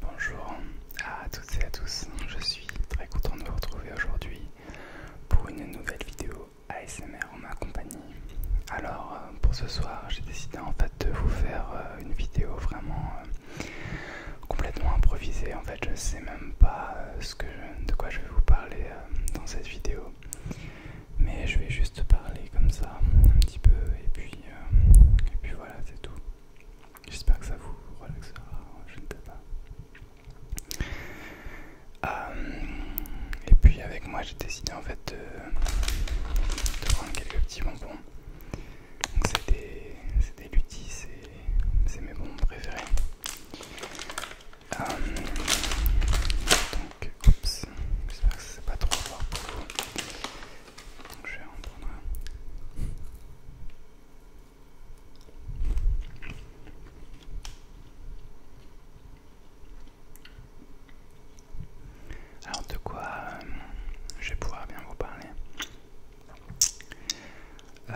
Bonjour à toutes et à tous, je suis très content de vous retrouver aujourd'hui pour une nouvelle vidéo ASMR en ma compagnie. Alors euh, pour ce soir j'ai décidé en fait de vous faire euh, une vidéo vraiment euh, complètement improvisée. En fait je ne sais même pas de quoi je vais vous parler dans cette vidéo. Mais je vais juste parler comme ça un petit peu et puis voilà c'est tout. J'espère que ça vous relaxera, je ne sais pas. Euh, et puis avec moi j'ai décidé en fait de, prendre quelques petits bonbons. Donc c'est des, lutis, c'est mes bonbons préférés. Euh, donc, j'espère que c'est pas trop fort pour vous je vais en Alors de quoi euh, je vais pouvoir bien vous parler euh,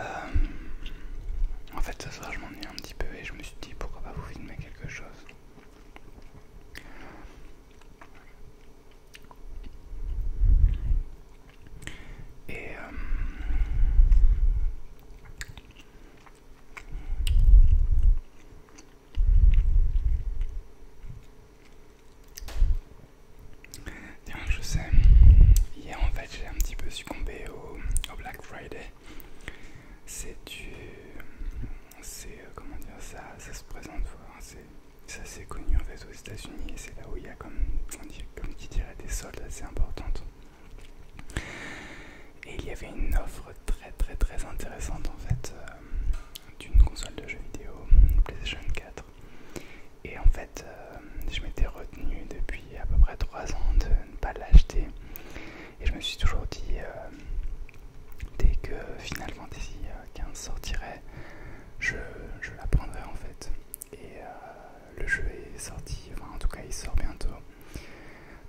En fait ce soir je m'ennuie un petit peu et je me suis dit pourquoi pas vous filmer quelque chose et euh, Tiens, je sais, hier en fait j'ai un petit peu succombé au, Black Friday. C'est du. C'est. Euh, comment dire ça Ça se présente, hein, c'est ça c'est connu en fait aux États-Unis et c'est là où il y a comme, comme qui dirait des soldes assez importantes. Et il y avait une offre très très très intéressante en fait euh, d'une console de jeux vidéo PlayStation 4. Et en fait euh, je m'étais retenu depuis à peu près 3 ans de ne pas l'acheter. Et je me suis toujours dit euh, dès que finalement qu'un sortirait, je, la prendrai en fait. Et euh, le jeu est sorti, enfin en tout cas il sort bientôt,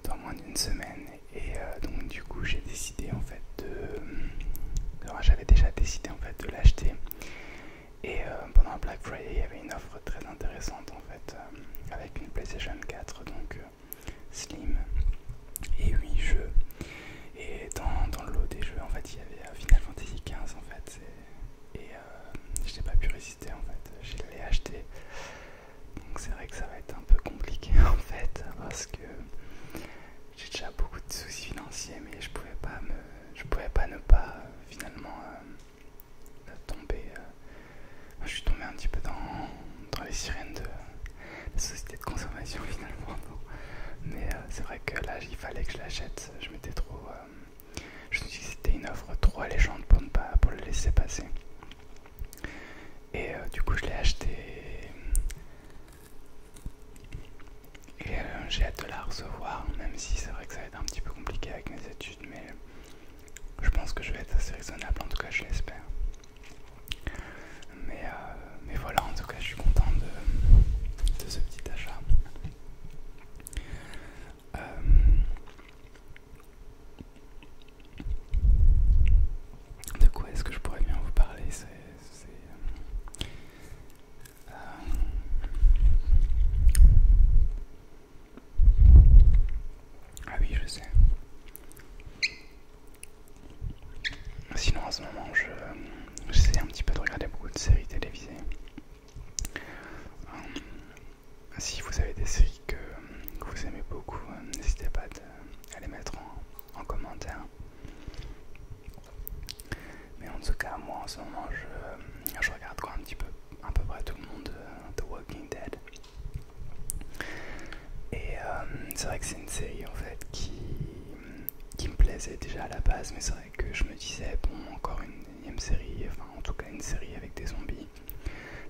dans moins d'une semaine. Et euh, donc du coup j'ai décidé en fait de... Euh, j'avais déjà décidé en fait de l'acheter. Et pendant Black Friday il y avait une offre très intéressante en fait, avec une PlayStation 4 donc slim et 8 jeux. Et dans, le lot des jeux, en fait, il y avait euh, Final Fantasy XV en fait. Et, euh, je n'ai pas pu résister en fait. Je l'ai acheté. Donc c'est vrai que ça va être un peu compliqué en fait parce que j'ai déjà beaucoup de soucis financiers mais je pouvais pas me je pouvais pas ne pas euh, finalement tomber je suis tombé un petit peu dans les sirènes de, la société de consommation finalement. Mais euh, c'est vrai que là, il fallait que je l'achète. Je m'étais trop. Euh, je me suis c'était une offre trop alléchante pour ne pas pour le laisser passer. Et euh, du coup, je l'ai acheté. Et j'ai hâte de la recevoir, même si c'est vrai que ça va être un petit peu compliqué avec mes études, mais je pense que je vais être assez raisonnable, en tout cas je l'espère. Mais, euh, mais voilà, en tout cas, je suis content de, de ce petit achat. Euh, de quoi est-ce que je pourrais bien vous parler C'est. Euh, ah oui, je sais. Sinon, en ce moment, j'essaie un petit peu de regarder beaucoup de séries télévisées. Euh, si vous avez des séries que, vous aimez beaucoup, euh, n'hésitez pas à les mettre en, commentaire. Mais en tout cas, moi en ce moment, je, regarde un petit peu, à peu près tout le monde euh, The Walking Dead. Et c'est vrai que c'est une série en fait qui, qui me plaisait déjà à la base, mais c'est vrai que je me disais, bon, encore une énième série, enfin en tout cas une série avec des zombies.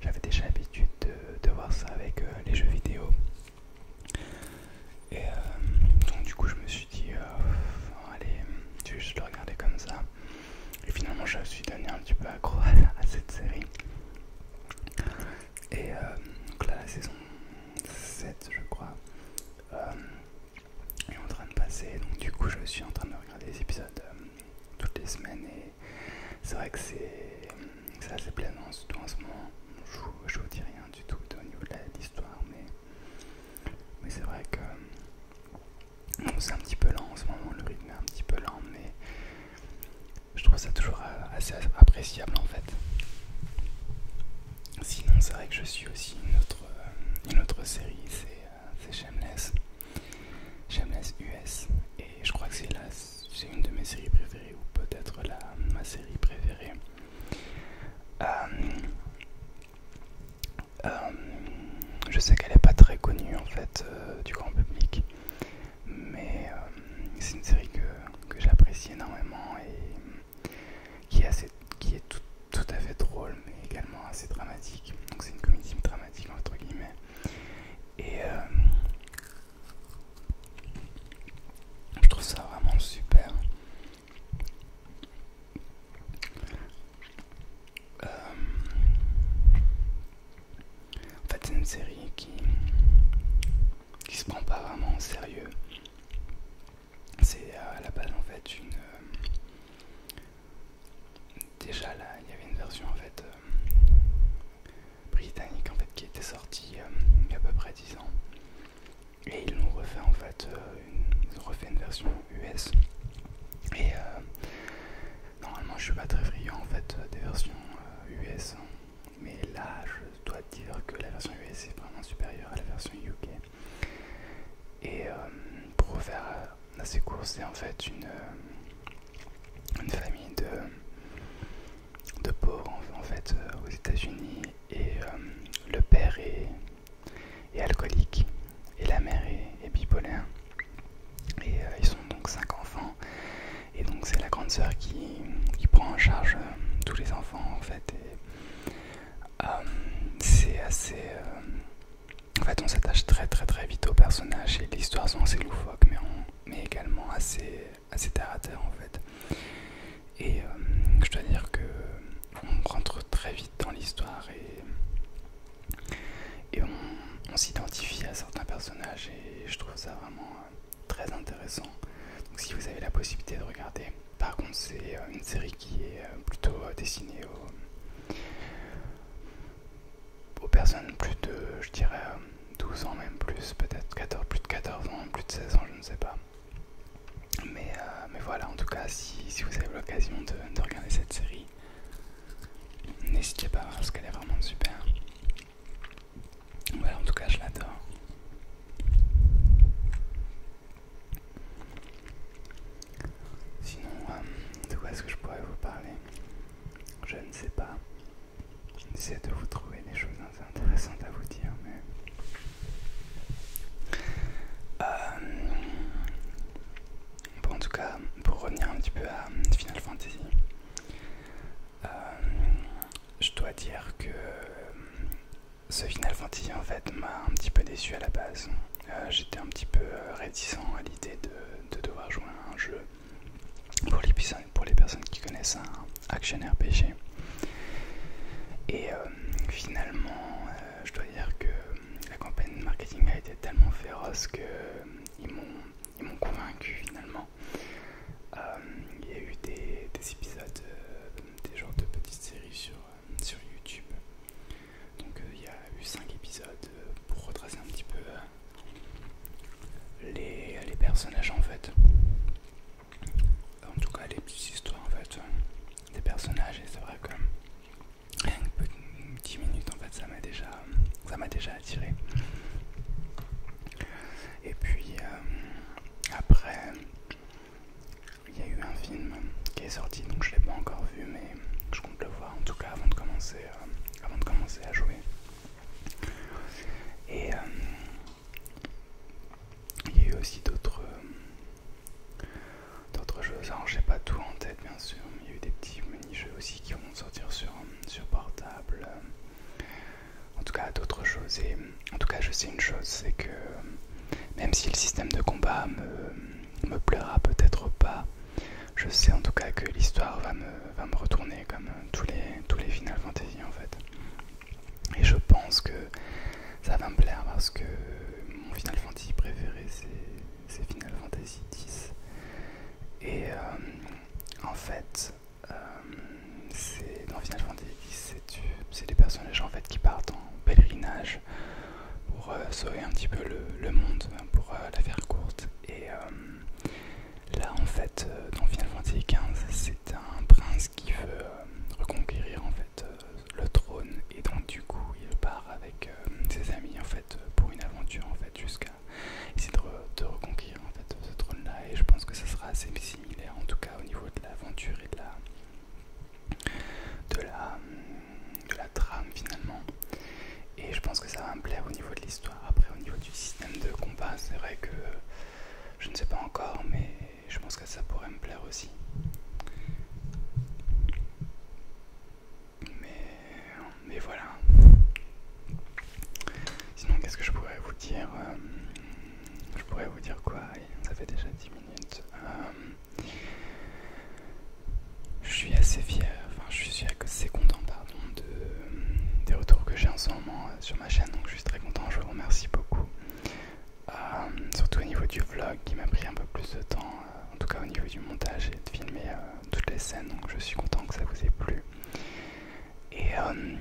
J'avais déjà l'habitude de, voir ça avec euh, les jeux vidéo. Et euh, donc du coup je me suis dit, euh, allez, je vais juste le regarder comme ça. Et finalement je me suis donné un petit peu accro à, cette série. Et donc là la saison 7 je crois euh, est en train de passer donc du coup je suis en train de regarder les épisodes euh, toutes les semaines et c'est vrai que c'est assez plaisant surtout en ce moment je, vous dis rien du tout au niveau de l'histoire mais, mais c'est vrai que c'est un petit peu lent en ce moment le rythme est un petit peu lent mais je trouve ça toujours euh, assez appréciable en fait. Sinon, c'est vrai que je suis aussi une autre, euh, une autre série, c'est euh, Shameless, Shameless US, et je crois que c'est c'est une de mes séries préférées, ou peut-être ma série préférée. je sais qu'elle n'est pas très connue en fait du grand public, mais c'est une série que, j'apprécie énormément et qui est, assez, qui est tout, à fait drôle mais également assez dramatique. Donc c'est une comédie dramatique entre guillemets. Et euh, je trouve ça vraiment super. Euh, en fait, c'est une série qui, qui se prend pas vraiment au sérieux. C'est euh, à la base en fait une. Euh, déjà là, il y avait une version en fait euh, britannique en fait qui était sortie il y a à peu près 10 ans. Et ils l'ont refait en fait, une, ils ont refait une version US. Et normalement je suis pas très friand en fait des versions US. Mais là, je dois dire que la version US est vraiment supérieure à la version UK. Et euh, pour faire euh, assez court, c'est en fait une, euh, une famille de, de pauvres en, fait aux États-Unis. Et le père est, alcoolique et la mère est, bipolaire. Et ils sont donc cinq enfants. Et donc c'est la grande sœur qui, prend en charge euh, tous les enfants en fait. Euh, c'est assez... Euh, en fait on s'attache très très très vite aux personnages et l'histoire sont assez loufoques mais, on, mais également assez, assez terre en fait. Et je dois dire que on rentre très vite dans l'histoire et, et on, s'identifie à certains personnages et je trouve ça vraiment très intéressant. si vous avez la possibilité de regarder. Par contre, c'est euh, une série qui est euh, plutôt euh, destinée aux, personnes plus de, je dirais, 12 ans même plus, peut-être 14, plus de 14 ans, plus de 16 ans, je ne sais pas. Mais, voilà, en tout cas, si, vous avez l'occasion de, de regarder cette série, n'hésitez pas parce qu'elle est vraiment super. Voilà, en tout cas, je l'adore. Sinon, euh, de quoi est-ce que je pourrais vous parler Je ne sais pas. J'essaie de vous trouver des choses intéressantes à vous dire, mais. Euh, bon, en tout cas, pour revenir un petit peu à Final Fantasy, euh, je dois dire que euh, ce Final Fantasy en fait m'a un petit peu déçu à la base. Euh, j'étais un petit peu euh, réticent à l'idée de, devoir jouer un jeu pour les, pour les personnes qui connaissent un action RPG. Et finalement, je dois dire que la campagne marketing a été tellement féroce qu'ils ils m'ont convaincu finalement. Euh, il y a eu des, épisodes, euh, des genres de petites séries sur, sur YouTube. Donc euh, il y a eu 5 épisodes pour retracer un petit peu les, les personnages en fait. En tout cas les petites histoires en fait des personnages et c'est vrai que 10 minutes en fait ça m'a déjà ça m'a déjà attiré et puis euh, après, il y a eu un film qui est sorti, donc je l'ai pas encore vu, mais je compte le voir en tout cas avant de commencer, euh, avant de commencer à jouer. Et euh, il y a eu aussi d'autres jeux, alors je n'ai pas tout en tête bien sûr, mais il y a eu des petits mini-jeux aussi qui vont sortir sur, sur portable en tout cas d'autres choses. Et en tout cas, je sais une chose, c'est que même si le système de combat me, plaira peut-être pas, je sais en tout cas que l'histoire va me, retourner comme tous les, Final Fantasy en fait. Et je pense que ça va me plaire parce que mon Final Fantasy préféré c'est Final Fantasy X. Et euh, en fait, euh, c'est dans Final Fantasy X, c'est des personnages en fait qui partent en pèlerinage pour euh, sauver un petit peu le, monde, hein, pour euh, la faire courte. Et là en fait, dans Final Fantasy XV, c'est un prince qui veut reconquérir en fait le trône et donc du coup il part avec ses amis en fait pour une aventure en fait jusqu'à essayer de, reconquérir en fait ce trône là et je pense que ça sera assez similaire en tout cas au niveau de l'aventure et de la de la de la trame finalement et je pense que ça va me plaire au niveau de l'histoire après au niveau du système de combat c'est vrai que je ne sais pas encore mais je pense que ça pourrait me plaire aussi mais, mais voilà Sinon, qu'est-ce que je pourrais vous dire euh, Je pourrais vous dire quoi Ça fait déjà 10 minutes. Euh, je suis assez fier, enfin, je suis assez content, pardon, de, des retours que j'ai en ce moment euh, sur ma chaîne. Donc, je suis très content. Je vous remercie beaucoup. surtout au niveau du vlog qui m'a pris un peu plus de temps, en tout cas au niveau du montage et de filmer toutes les scènes, donc je suis content que ça vous ait plu. Et euh,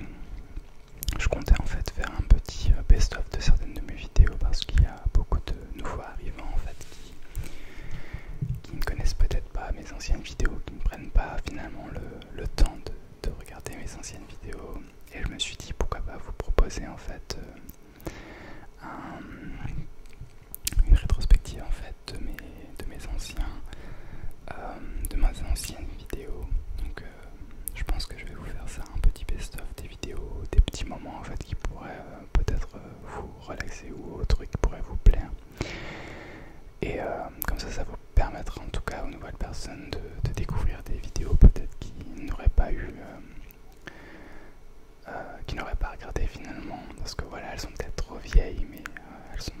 je comptais en fait faire un petit euh, best-of de certaines de mes vidéos parce qu'il y a beaucoup de nouveaux arrivants en fait qui, ne connaissent peut-être pas mes anciennes vidéos, qui ne prennent pas finalement le, temps de, regarder mes anciennes vidéos. Et je me suis dit pourquoi pas vous proposer en fait euh, une rétrospective en fait de mes de mes anciens, euh, de mes anciennes vidéos. Donc, euh, je pense que je vais vous faire ça, un petit best-of des vidéos, des petits moments en fait qui pourraient euh, peut-être vous relaxer ou autres qui pourraient vous plaire. Et comme ça, ça vous permettra en tout cas aux nouvelles personnes de, découvrir des vidéos peut-être qui n'auraient pas eu, qui n'auraient pas regardé finalement, parce que voilà, elles sont peut-être trop vieilles, mais elles sont,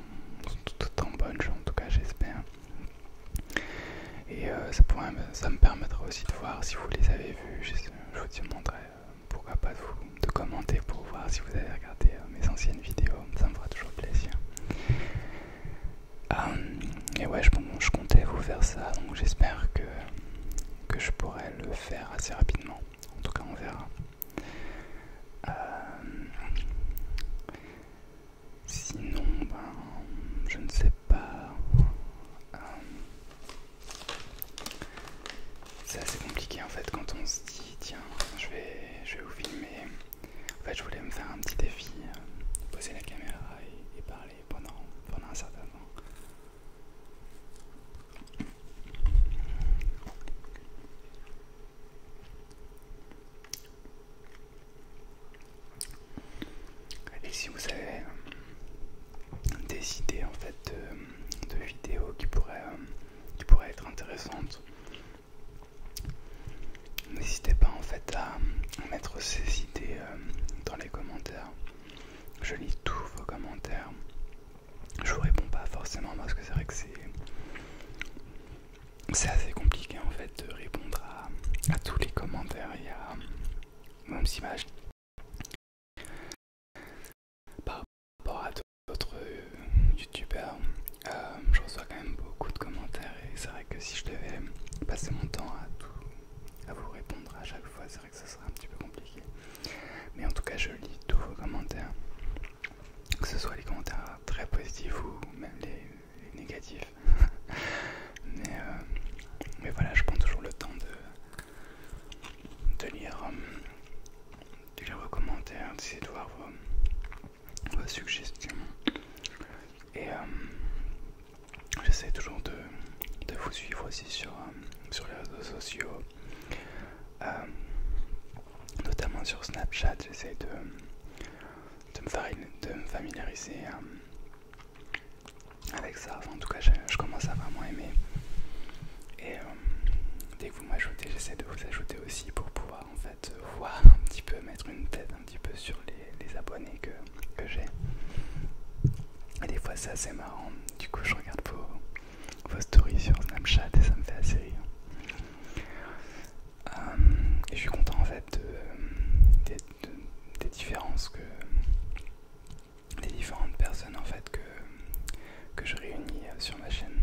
toutes en bonne, en tout cas j'espère. Et euh, ça, ça me permettra aussi de voir si vous les avez vues, je, vous demanderai euh, pourquoi pas de, vous, de commenter pour voir si vous avez regardé euh, mes anciennes vidéos, ça me fera toujours plaisir. et ouais, je, je comptais vous faire ça, donc j'espère que, que je pourrai le faire assez rapidement. En tout cas, on verra. Sinon, ben, je ne sais pas. Euh, c'est assez compliqué en fait quand on se dit tiens, je vais, je vais vous filmer. En fait, je voulais me faire un petit défi, euh, poser la caméra et, parler pendant, pendant un certain temps. Et si vous avez euh, des idées en fait de, vidéos qui pourraient, euh, qui être intéressantes, n'hésitez pas en fait à mettre ces idées euh, dans les commentaires. Je lis tous vos commentaires. Je vous réponds pas forcément parce que c'est vrai que c'est c'est assez compliqué en fait de répondre à, tous les commentaires y a même images par rapport à d'autres euh, youtubeurs. Euh, je reçois quand même beaucoup de commentaires et c'est vrai que si je devais passer mon temps à à vous répondre à chaque fois, c'est vrai que ce serait un petit peu compliqué. Mais en tout cas, je lis tous vos commentaires, que ce soit les commentaires très positif ou même des négatifs. mais, euh, mais voilà, je prends toujours le temps de, euh, lire, vos commentaires, d'essayer de voir vos, suggestions. Et euh, j'essaie toujours de, vous suivre aussi sur, sur les réseaux sociaux. Euh, notamment sur Snapchat, j'essaie de, me de familiariser euh, avec ça. en tout cas, je, commence à vraiment aimer. Et euh, dès que vous m'ajoutez, j'essaie de vous ajouter aussi pour pouvoir en fait voir un petit peu, mettre une tête un petit peu sur les, abonnés que, j'ai. Et des fois, c'est assez marrant. Du coup, je regarde vos stories sur Snapchat et ça me fait assez rire. Euh, et je suis content en fait des différences que des différentes personnes en fait que, je réunis euh, sur ma chaîne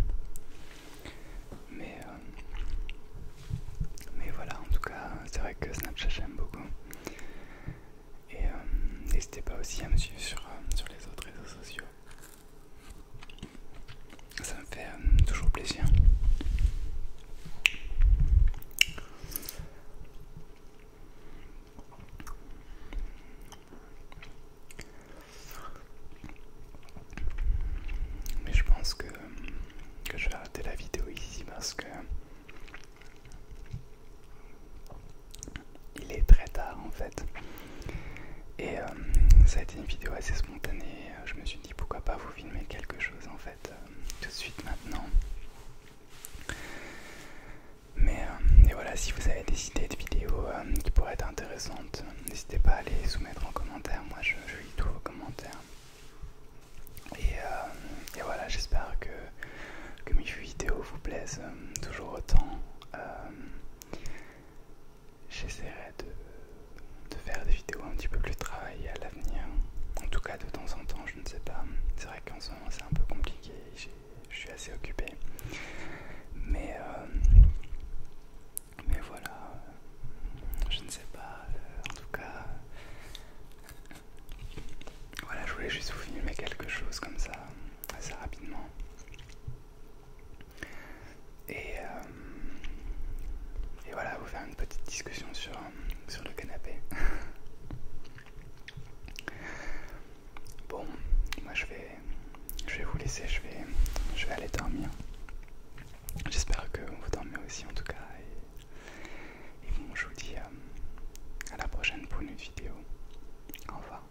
mais euh, mais voilà en tout cas c'est vrai que Snapchat j'aime beaucoup et n'hésitez pas aussi à me suivre sur les autres réseaux sociaux ça me fait euh, toujours plaisir. Mais je pense que, que je vais arrêter la vidéo ici parce que il est très tard en fait. Et euh, ça a été une vidéo assez spontanée. Je me suis dit pourquoi pas vous filmer quelque chose en fait euh, tout de suite maintenant. Mais euh, et voilà, si vous avez des idées de vidéos qui pourraient être intéressantes, n'hésitez pas à les soumettre en commentaire. Moi je, lis tous vos commentaires. Et, et voilà, j'espère que, mes vidéos vous plaisent toujours autant j'essaierai de, faire des vidéos un petit peu plus travaillées à l'avenir. En tout cas de temps en temps, je ne sais pas. C'est vrai qu'en ce moment c'est un peu compliqué, je suis assez occupé. Mais, euh, mais voilà, je ne sais pas. Euh, en tout cas, voilà, je voulais juste vous filmer quelque chose comme ça, assez rapidement. Euh, et, voilà, vous faire une petite discussion sur, sur le canapé. bon, moi je vais, je vais vous laisser, je vais, je vais aller dormir. J'espère que vous dormez aussi en tout cas. Et, bon, je vous dis euh, à la prochaine pour une vidéo. Au revoir.